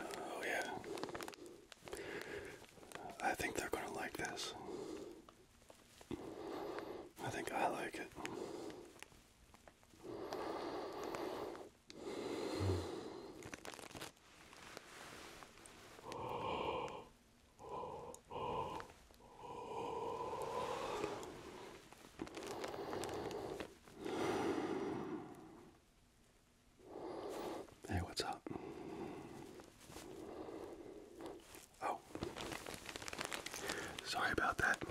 Oh, yeah. I think they're going to like this. I think I like it. Hey, what's up? Oh, sorry about that.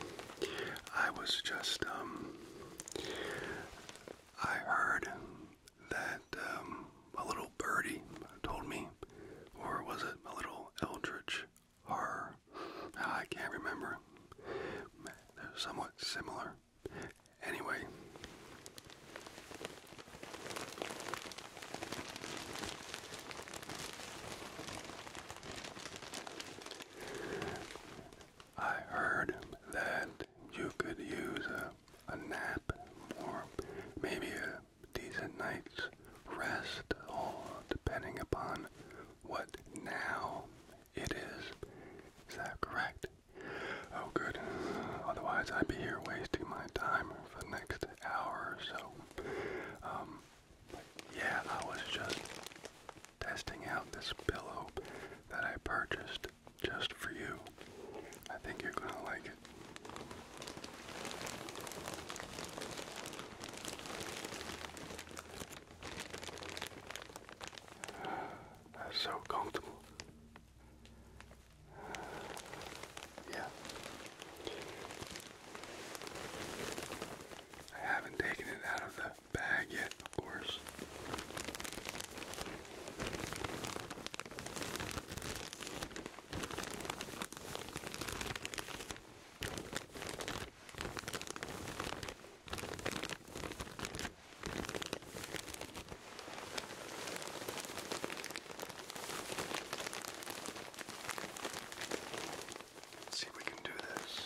I was just, um, I heard that um, a little birdie told me, or was it a little eldritch or ah, I can't remember. They're somewhat similar. Anyway. I heard that you could use a, a nap or maybe a decent night's rest, all depending upon what now it is. Is that correct? Oh, good. Otherwise, I'd be here wasting my time for the next hour or so. Um, yeah, I was just testing out this pillow that I purchased just for you. I think you're gonna like it. That's so comfortable. Yeah. I haven't taken it out of the bag yet, of course. Let's see if we can do this.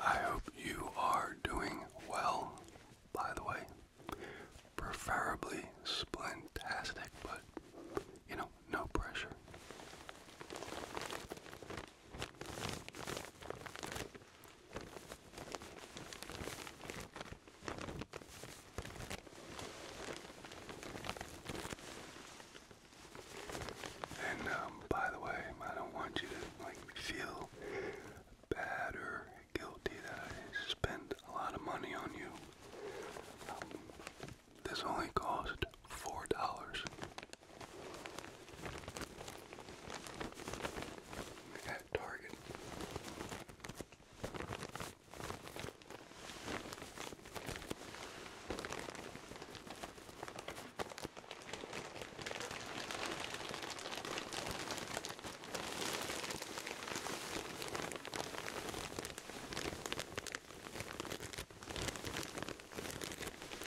I hope you are doing well, by the way. Preferably splintastic, but you know, no pressure. And um, by the way, I don't want you to like feel bad or guilty that I spent a lot of money on you. Um, this only cost four dollars at Target.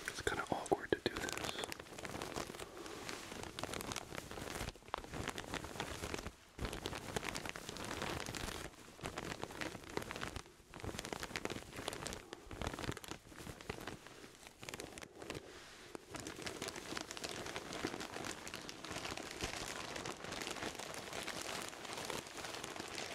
It's kind of awkward to do this.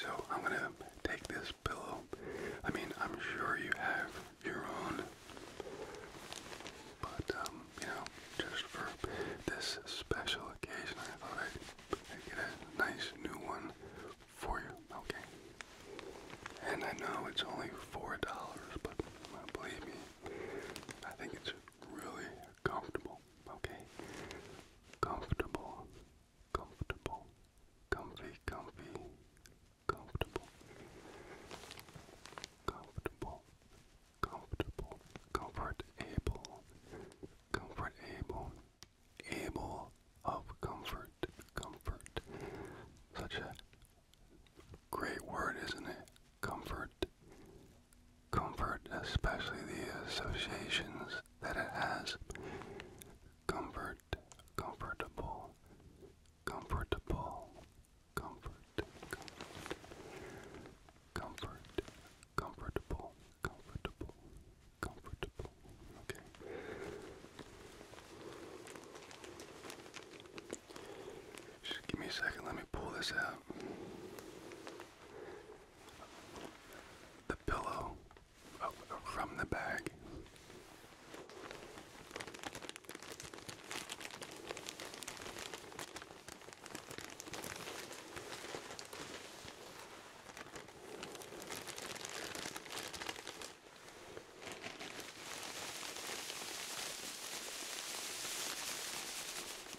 So I'm going to take this pillow. I mean, I'm sure you have your own, but um, you know, just for this special occasion, I thought I'd, I'd get a nice new one for you. Okay. And I know it's only $4, but uh, believe me, I think it's really comfortable okay? Comfortable, comfortable, comfy, comfy, comfortable, comfortable, comfortable, comfort able, comfort able of comfort, comfort. Such a great word, isn't it? Comfort comfort, especially the associations that it has. Comfort, comfortable, comfortable, comfort, comfort, comfort, comfortable, comfortable, comfortable. Okay. Just give me a second, let me pull this out the pillow from the bag.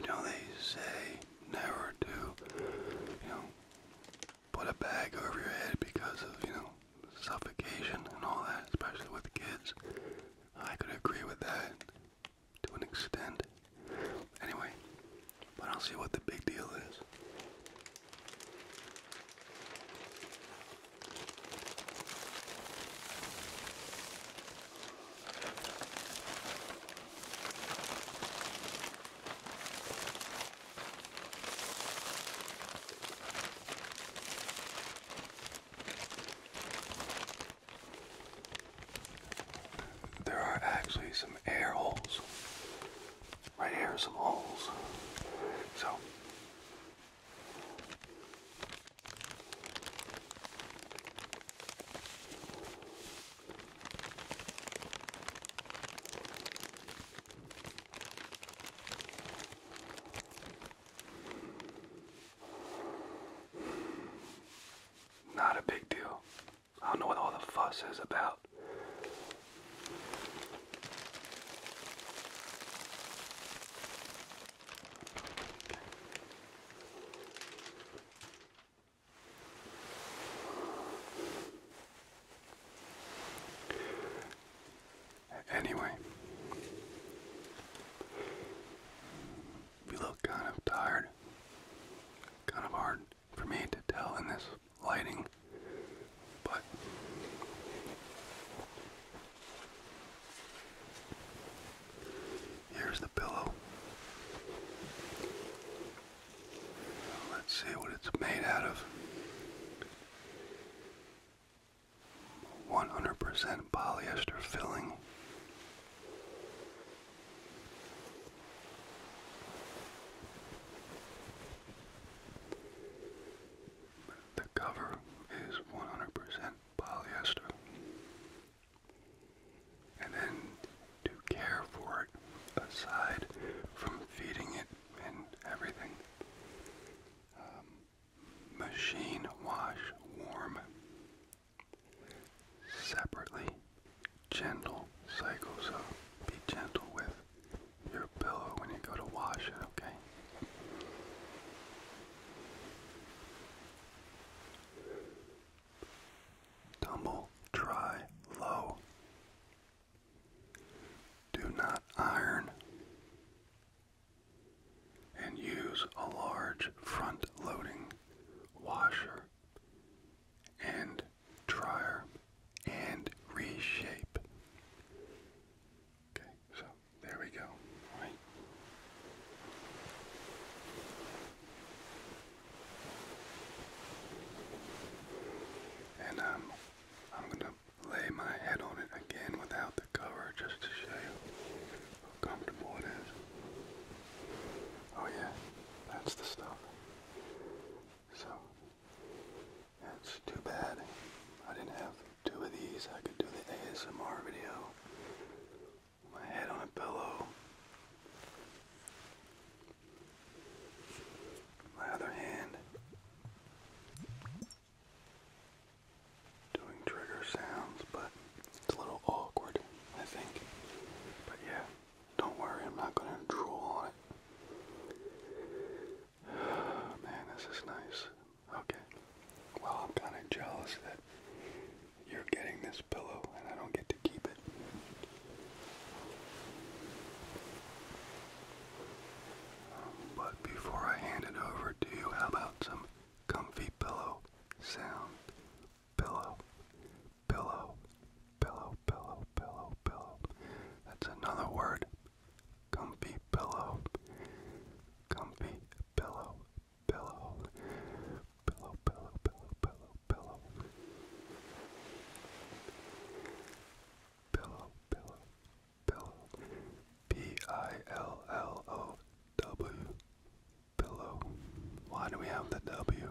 You know, they say never to, you know, put a bag over your head because of, you know, suffocation and all that, especially with kids. I could agree with that to an extent. Anyway, but I'll see what the big deal is. There are actually some air holes. Right here are some holes. So not a big deal. I don't know what all the fuss is about. Anyway, we look kind of tired. Kind of hard for me to tell in this lighting, but here's the pillow. Let's see what it's made out of. 100% polyester filling. The cover is 100% polyester. And then to care for it, aside from feeding it and everything, um, machine wash warm. Separately, gentle cycle. be gentle with your pillow when you go to wash it, okay? Tumble dry low. Do not iron and use a large front loading washer and dryer and reshape. Okay, so there we go. All right. And um I'm gonna lay my head on it again without the cover just to show you how comfortable it is. Oh yeah, that's the stuff. So, that's too bad. I didn't have two of these. I could do the ASMR video. My head on a pillow. My other hand doing trigger sounds, but it's a little awkward, I think. But yeah, don't worry, I'm not gonna drool Man, this is nice. Okay. Well, I'm kind of jealous that you're getting this pillow and I don't get to keep it. But before I hand it over to you, how about some comfy pillow sound? Pillow, pillow, pillow, pillow, pillow, pillow. That's another word. Comfy pillow. Comfy pillow, pillow, pillow, pillow, pillow, pillow, pillow. Pillow, pillow P I L L O W pillow. Why do we have the W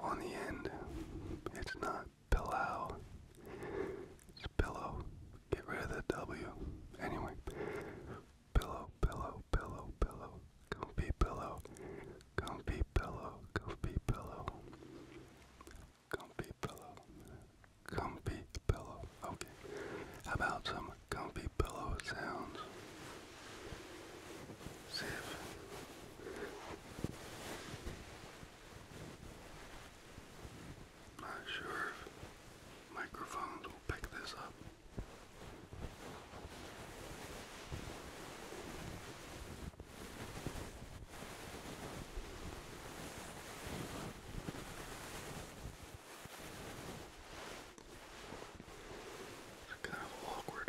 on the end? It's not pillow. It's pillow. Get rid of the W. Anyway. Pillow, pillow, pillow, pillow. Comfy pillow. Comfy pillow. Comfy pillow comfy pillow, comfy pillow. Okay, how about some comfy pillow sounds? See if. Not sure if microphones will pick this up. Kind of awkward.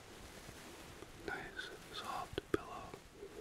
nice soft pillow. Relax.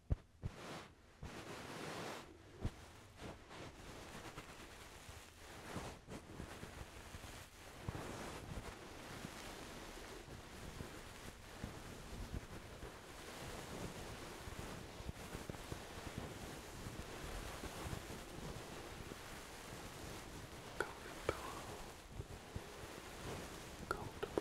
Golden pillow. Golden pillow.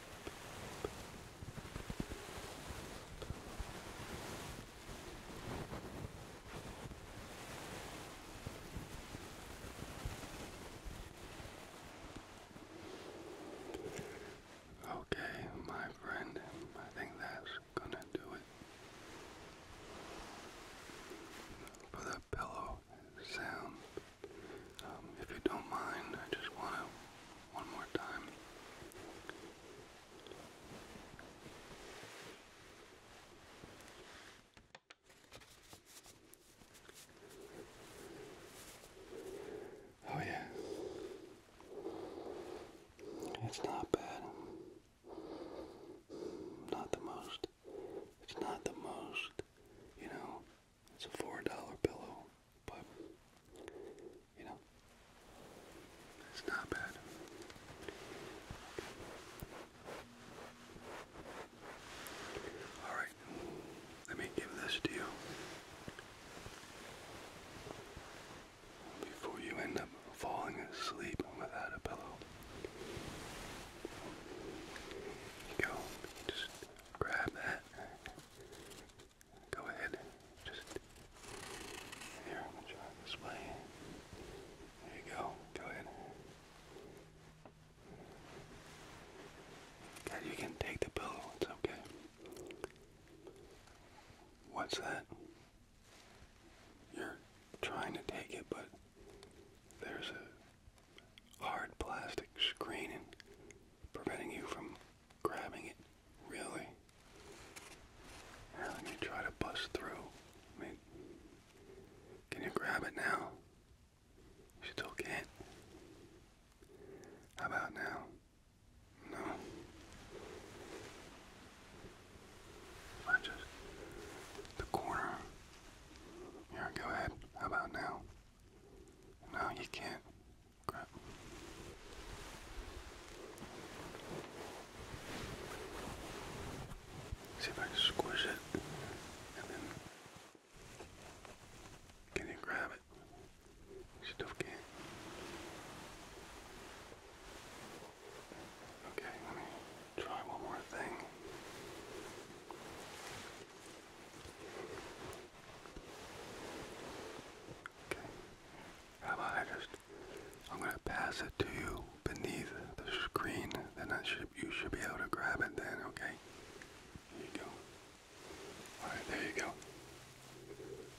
Okay, my friend, I think that's gonna do it for the pillow sound. Um, if you don't mind, I just want to one more time. Oh yeah. It's not bad. Not the most. It's not the most, you know, it's a four dollar pillow, but you know, it's not bad. All right, let me give this to you before you end up falling asleep without a pillow. go. Just grab that. Go ahead, just here. this way. There you go. Go ahead. you can take the pillow. It's okay. What's that? You're trying to take it, but there's a hard plastic screening preventing you from grabbing it, really. Now try to bust through. can you grab it now? You still can't. How about now? No. I just the corner. Here, go ahead. How about now? No, you can't. See if I squish it and then can you grab it? Still can't. Okay, let me try one more thing. Okay. How about I just I'm gonna pass it to you beneath the screen, then I should you should be able to grab it then, okay? There you go. Alright, there you go.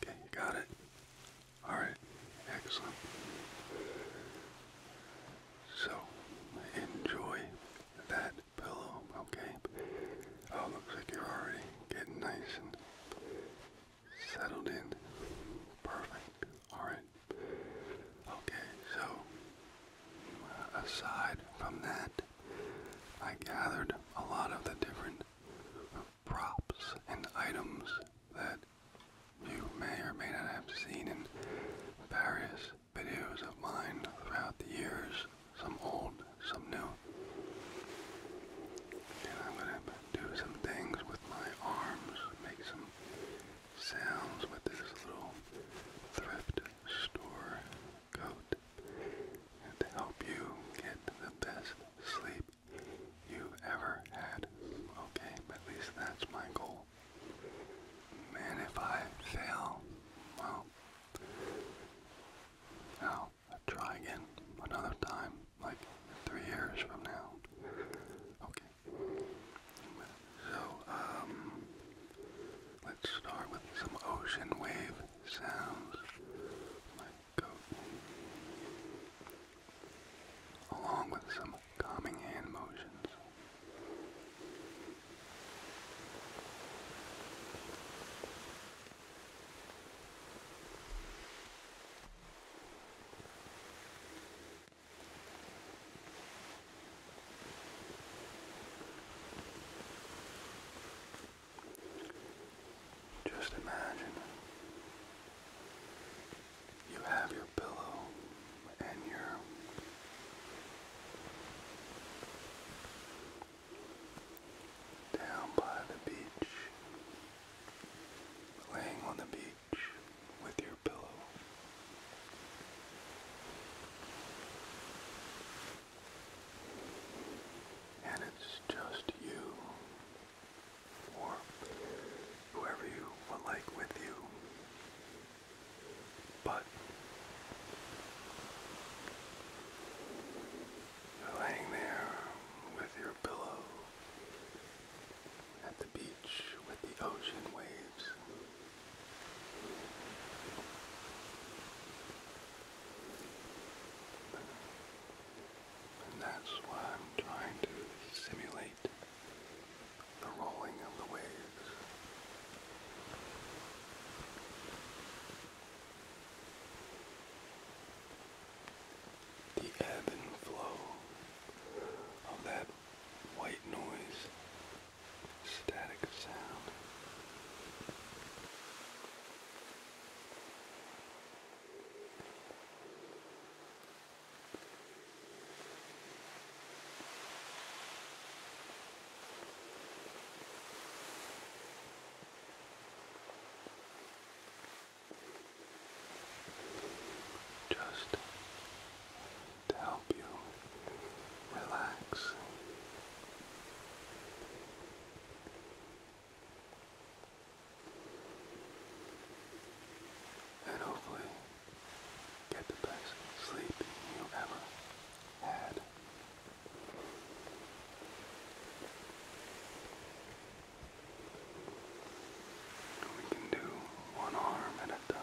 Okay, got it. Alright, excellent. So enjoy that pillow, okay? Oh, looks like you're already getting nice and settled in. Perfect. Alright. Okay, so uh, aside from that, I gathered a lot of the different props and items that you may or may not have seen in various videos of mine throughout the years some old, some new. And I'm going to do some things with my arms, make some sounds with this little thrift store coat to help you get the best sleep you ever had. Okay, at least that's my goal. And if I fail, well, now, I'll try again another time, like three years from now. Okay. So, um, let's start with some ocean wave sounds. My goat. Along with some calming hand motions. Just imagine you have your pillow and your down by the beach, laying on the beach with your pillow. And it's just you or whoever you would like with you. But you're laying there with your pillow at the beach with the ocean waves. And that's why I'm trying to simulate the rolling of the waves the ebb and flow of that white noise static sound just to help you relax. And hopefully get the best sleep you ever had. We can do one arm at a time.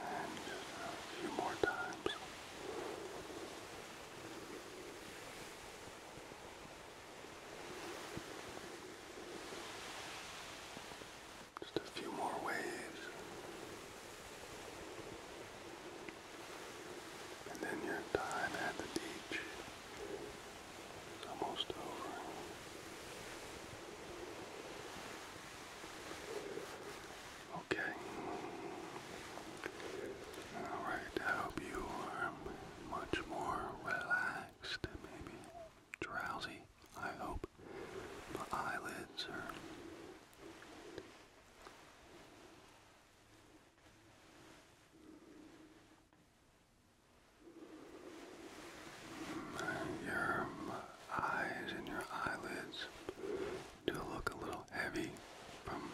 And just a few more times. Just a few more waves, and then your time at the beach is almost over. Okay. Alright, I hope you are much more relaxed, maybe drowsy, I hope. My eyelids are. Mm, your eyes and your eyelids to look a little heavy from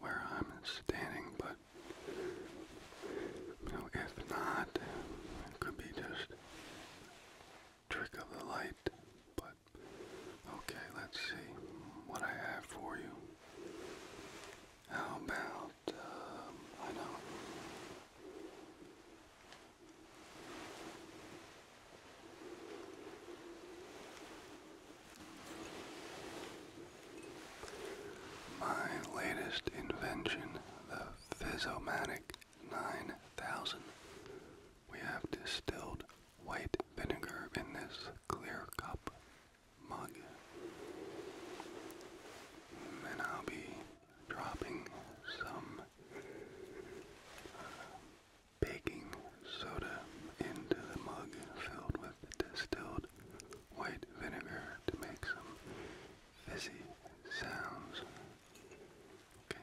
where I'm standing, but you know, if not, it could be just trick of the light. But okay, let's see what I have for you. How about um, I know my latest invention, the Physomatic 9000. We have distilled white vinegar in this clear cup mug. And I'll be dropping some baking soda into the mug filled with distilled white vinegar to make some fizzy sounds. Okay.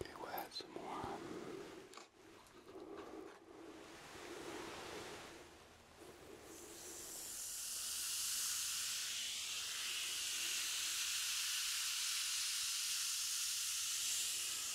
Okay, we'll add some more.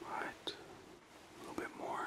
All right, a little bit more.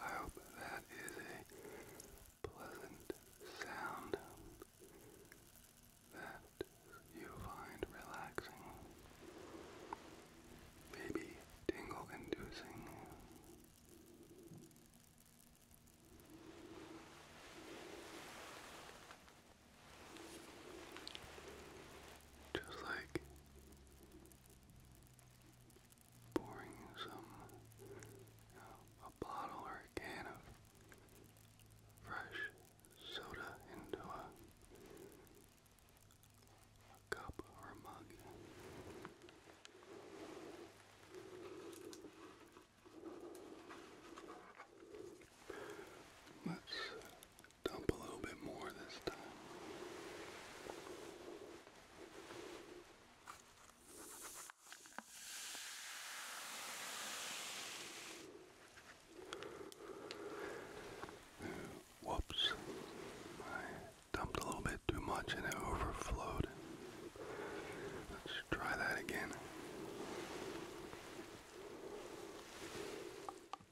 I hope that is a pleasant sound that you find relaxing, maybe tingle inducing. Just like pouring some you know, a bottle or a can of fresh soda into a, cup or a mug. Let's Dump a little bit more this time. Uh, whoops. I dumped a little bit too much and it overflowed. Let's try that again.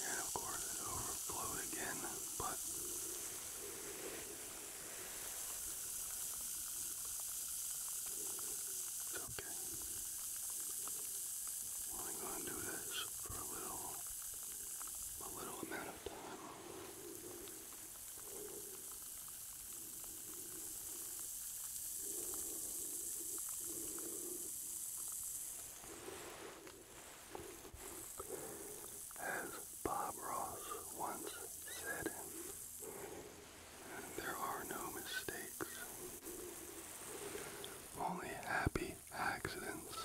And of course, it overflowed again, but it's okay. I'm going to do this for a little, a little amount of time. As Bob Ross once said, there are no mistakes. Only happy accidents.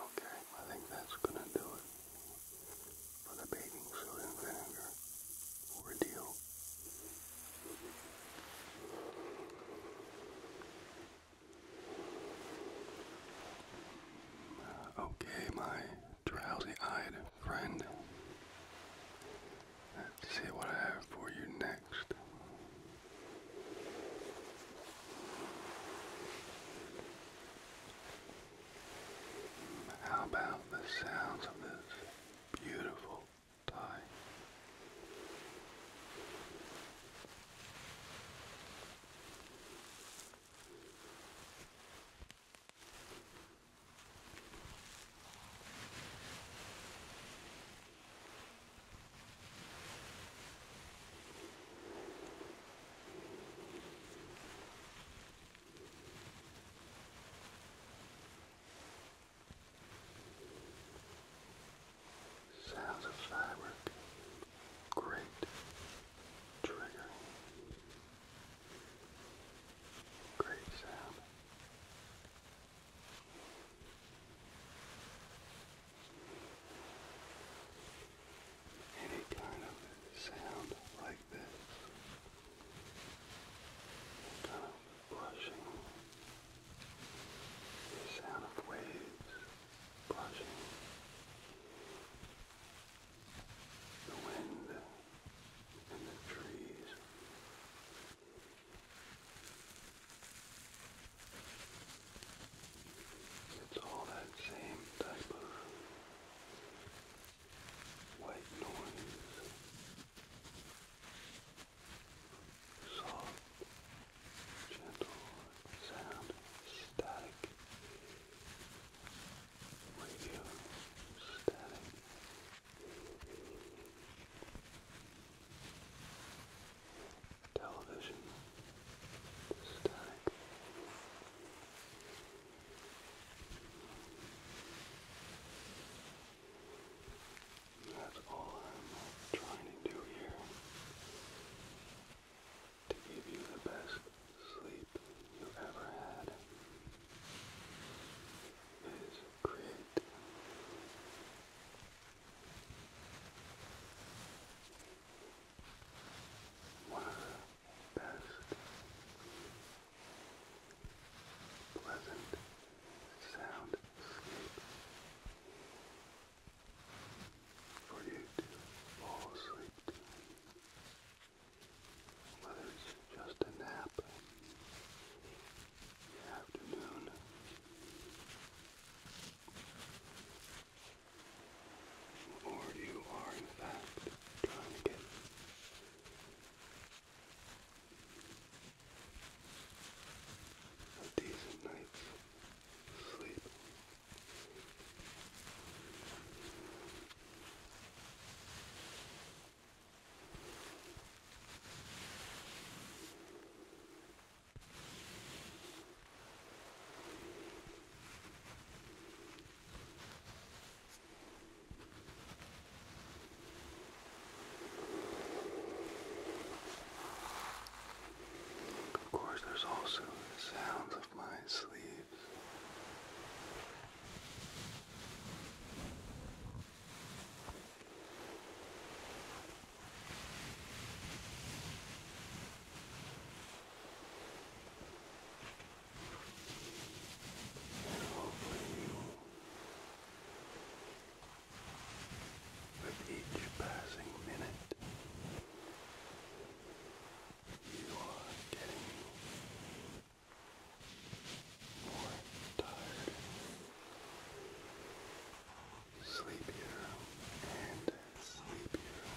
Okay, I think that's gonna do it for the baking soda and vinegar ordeal. Uh, okay, my drowsy-eyed friend. see what I have for you next. How about the sounds of this beautiful tie? Sounds of fabric. Great Trigger. great sound. Any kind of sound like this, kind of brushing, sound of waves brushing the wind and the trees. It's all that same type of white noise. Soft, gentle sound, static, were you staring? Television static. That's all I'm trying to do here to give you the best sleep you ever had is create one of the best pleasant sound sleep for you to fall asleep Whether it's just a nap in the afternoon. Or you are in fact trying to get a decent night's sleep. Of course, there's also the sounds of my sleeve. Hopefully you, with each passing minute, you are getting more tired, sleepier, and sleepier. Your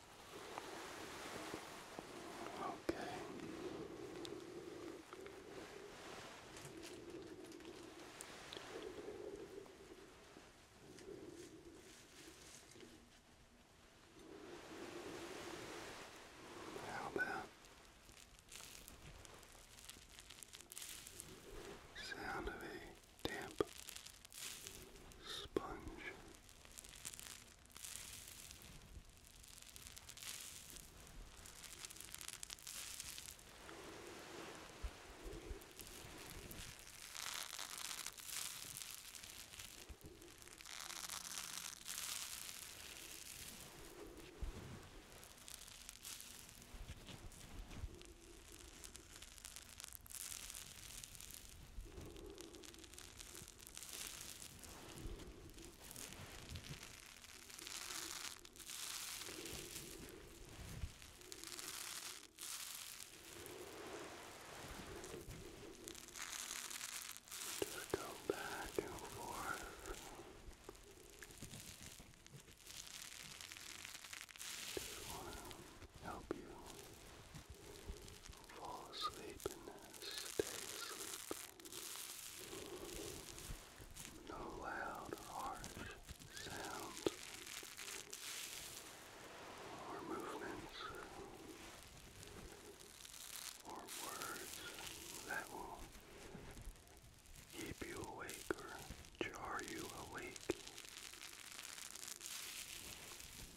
Okay. How about sound of a damp sponge. Just go back and forth. Just wanna help you fall asleep and stay asleep. No loud, harsh sounds or movements or words that will keep you awake or jar you awake.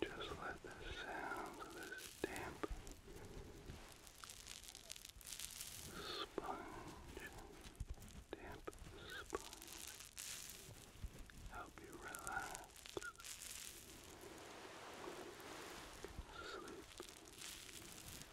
Just let the sounds of this damp sponge, damp sponge, help you relax, sleep.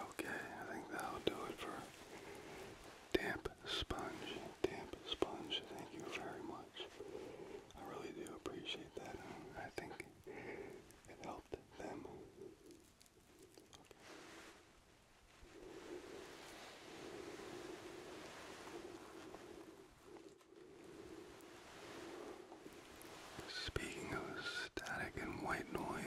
Okay, I think that'll do it for Damp Sponge. Damp Sponge, thank you very much. I really do appreciate that. I think it helped them. Speaking of static and white noise,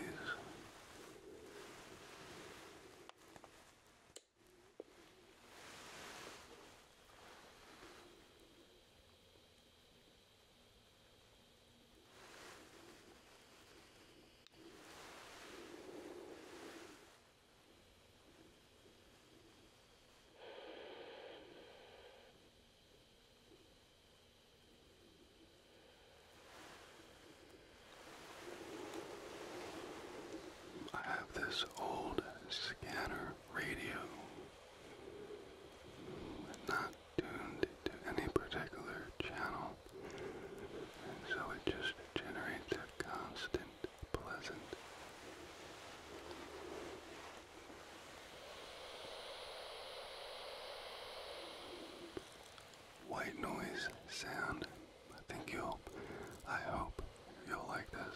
I have this old scanner radio not tuned to any particular channel, and so it just generates a constant pleasant. White noise sound. I think you'll, I hope you'll like this.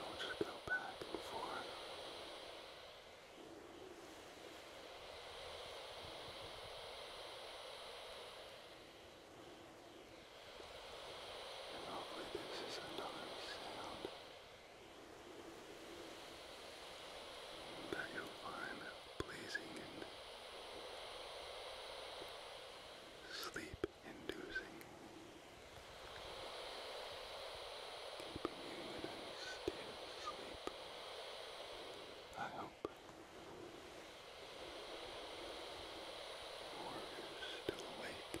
I'll just go back and forth. Just and hopefully this is another sound that you'll find pleasing and sleep inducing. Keeping you in a state of I hope. Or still awake.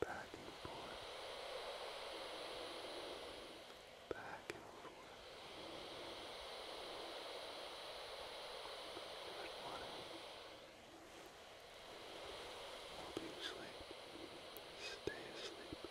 back and forth, back and forth. Good morning. Hope you sleep. Stay asleep. Good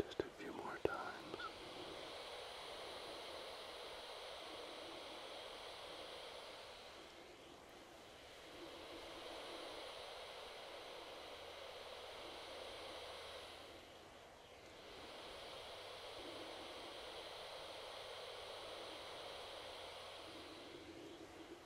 Just a few more times.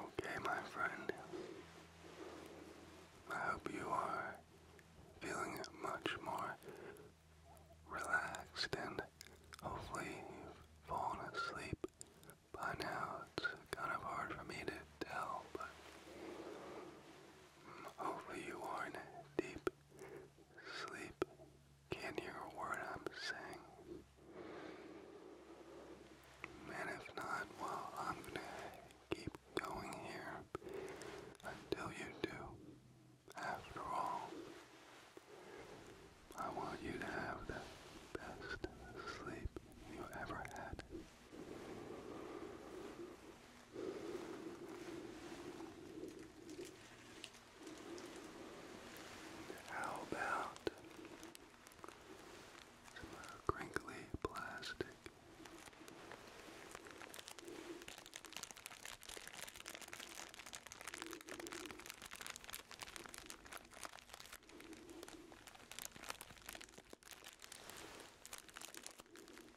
Okay, my friend. I hope you are feeling much more relaxed and hopefully you've fallen asleep by now. It's kind of hard for me to tell, but mm, hopefully you are in deep Sleep. Can't hear a word I'm saying. And if not, well, I'm gonna keep going here until you do. After all, I want you to have the best sleep you ever had. How about some uh, crinkly plastic?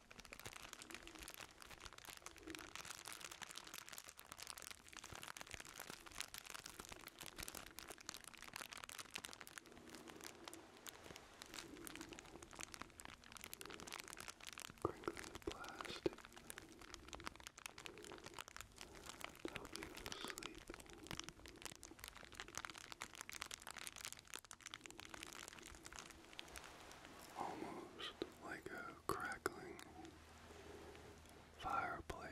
Crinkly plastic to help you go to sleep. Relax almost like a crackling fireplace.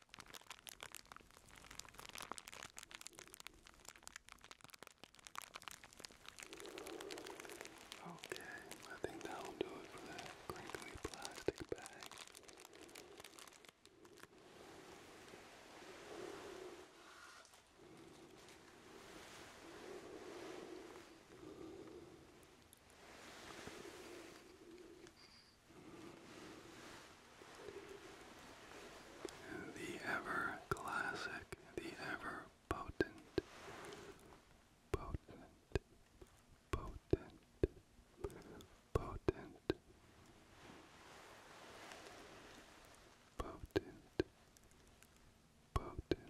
Okay, I think that'll do it for that crinkly plastic bag. The ever classic, the ever potent, potent, potent, potent, potent, potent,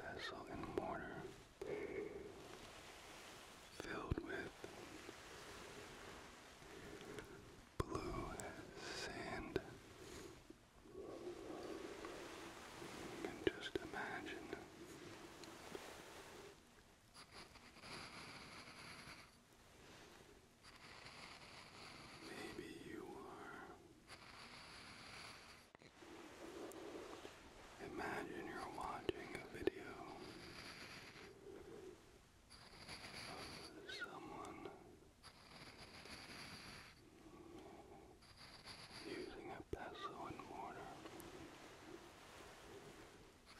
vessel and mortar filled with blue sand. just imagine Maybe you are Imagine you're watching a video of someone using a pestle and mortar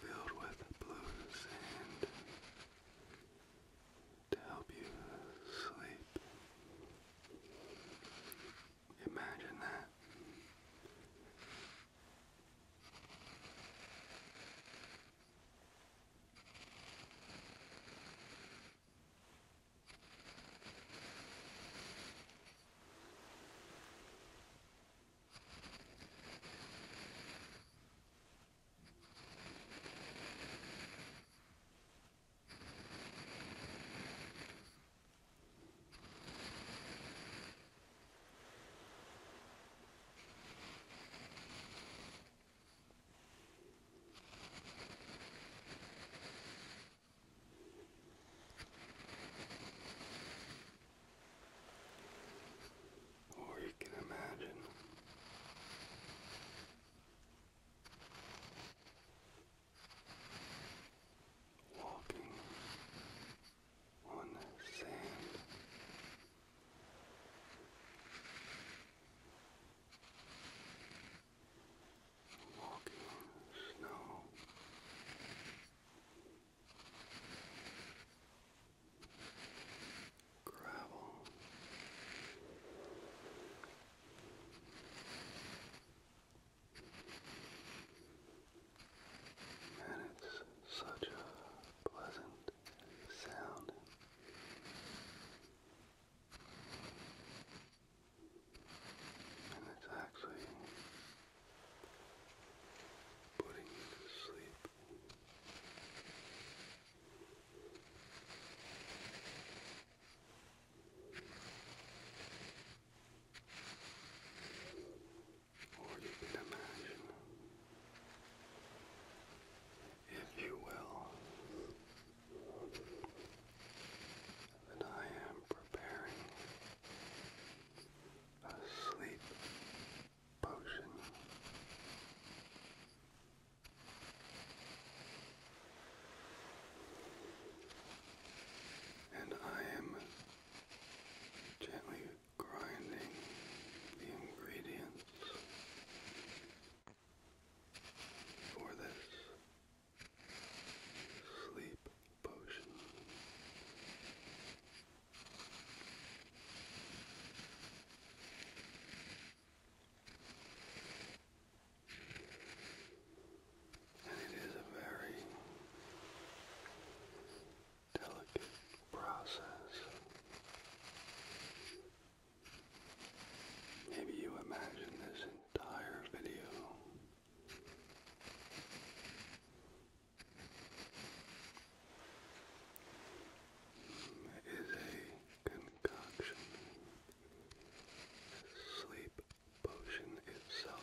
filled with blue sand to help you sleep. Imagine that. Or you can imagine walking on sand. Walking on snow, gravel, and it's such a pleasant sound. And it's actually putting you to sleep. Or you can imagine, if you will, that I am preparing a sleep potion. And I am gently grinding the ingredients for this sleep potion and it is a very delicate process. Maybe you imagine this entire video is a concoction sleep potion itself. Now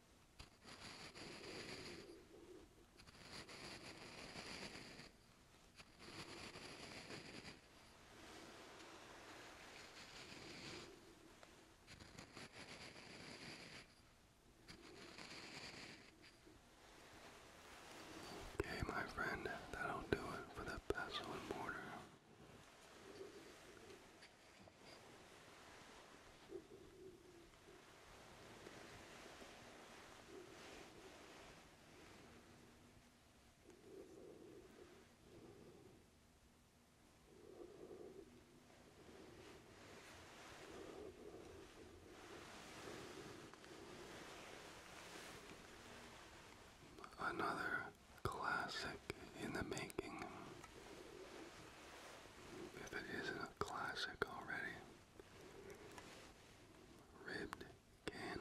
Okay, my friend, that'll do it for the pestle and mortar. Another classic in the making. If it isn't a classic already, ribbed can.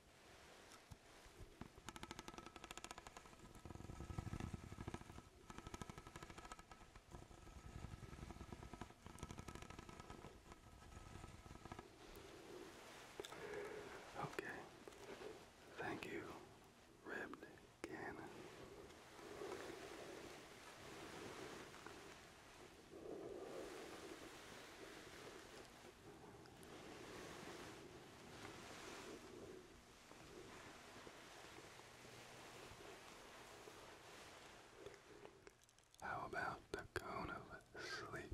Okay. Thank you, Reb Cannon. How about the cone of sleep?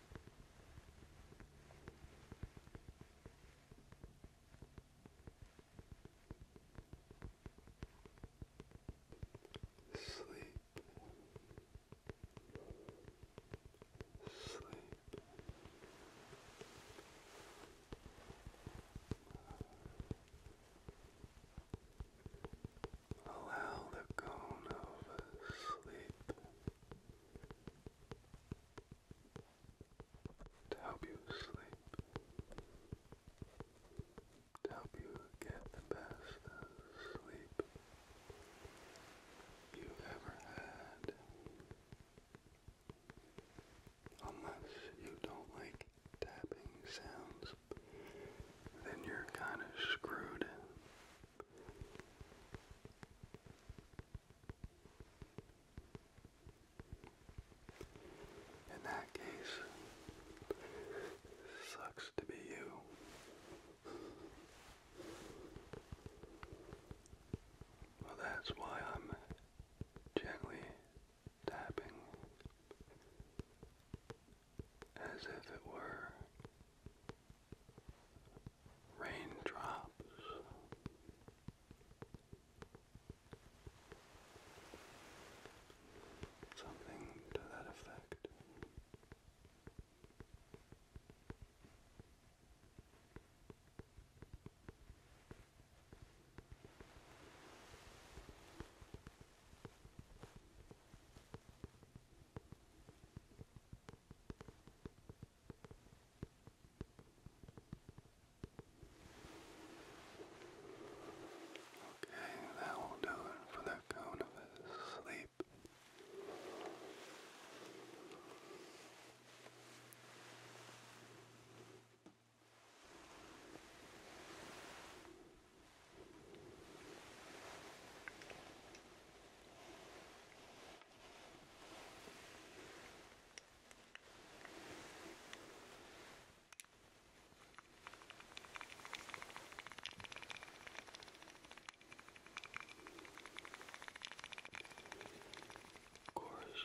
Sleep. Sleep. Allow the cone of sleep to help you sleep, to help you get the best sleep you've ever had. Unless you don't like tapping sounds, then you're kind of screwed. In that case, sucks to be you. Well, that's why I'm gently tapping as if it were raindrops. Something to that effect. Okay, that will do it for the cone of his sleep. Of course,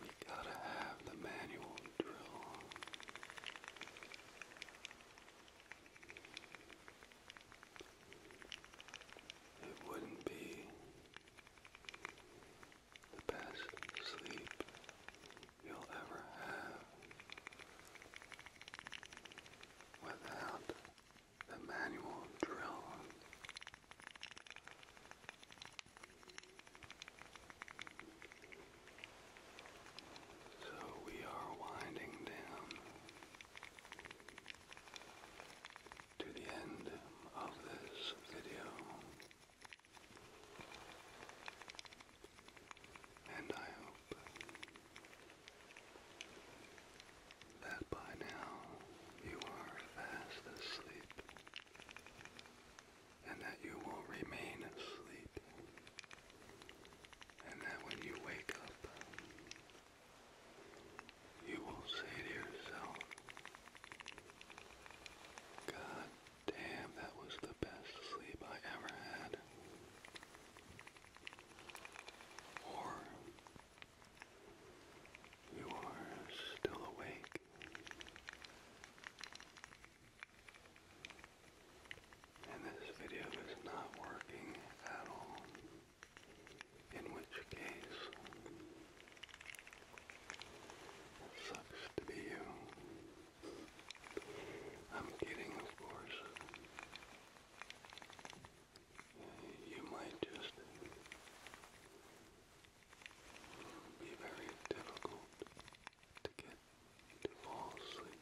we gotta have the manual drill it wouldn't be the best sleep you'll ever have without the manual drill. So we are winding down to the end of this video. And I hope that by now you are fast asleep and that you will remain asleep and that when you wake up, you will say to yourself, God damn, that was the best sleep I ever had. Or you are still awake and this video is not working at all, in which case, sucks to be you. I'm kidding, of course. You might just be very difficult to get to fall asleep.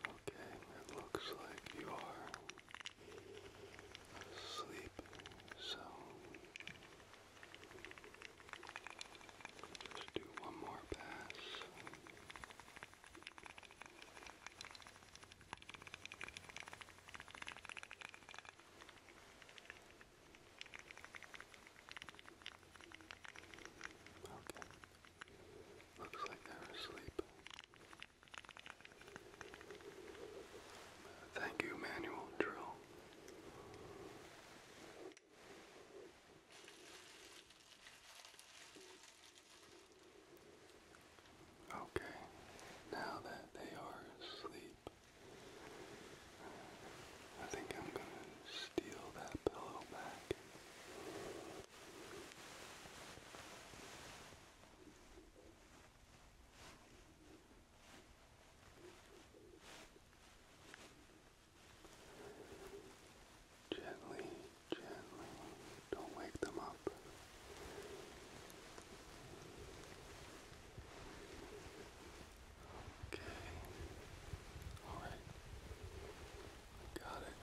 Okay, it looks like you are asleep, so just do one more pass. Okay. Looks like they're asleep. Thank you, manual drill. Okay, now that they are asleep, I think I'm going to steal that pillow back. Gently, gently, don't wake them up. Okay, all right, I got it.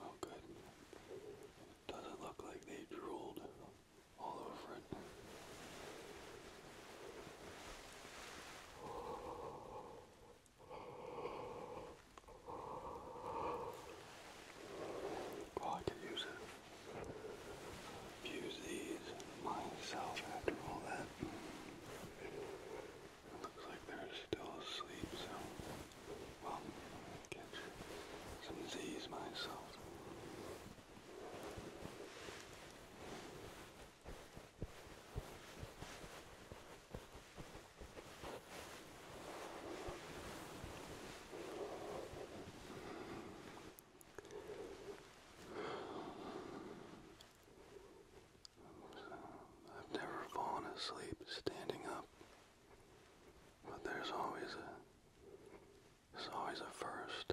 Oh, good. It doesn't look like they drooled all over it. Oh, I could use it use these myself after all that. It looks like they're still asleep, so well, I'll catch some of these myself. There I've never fallen asleep standing up, but there's always a there's always a first.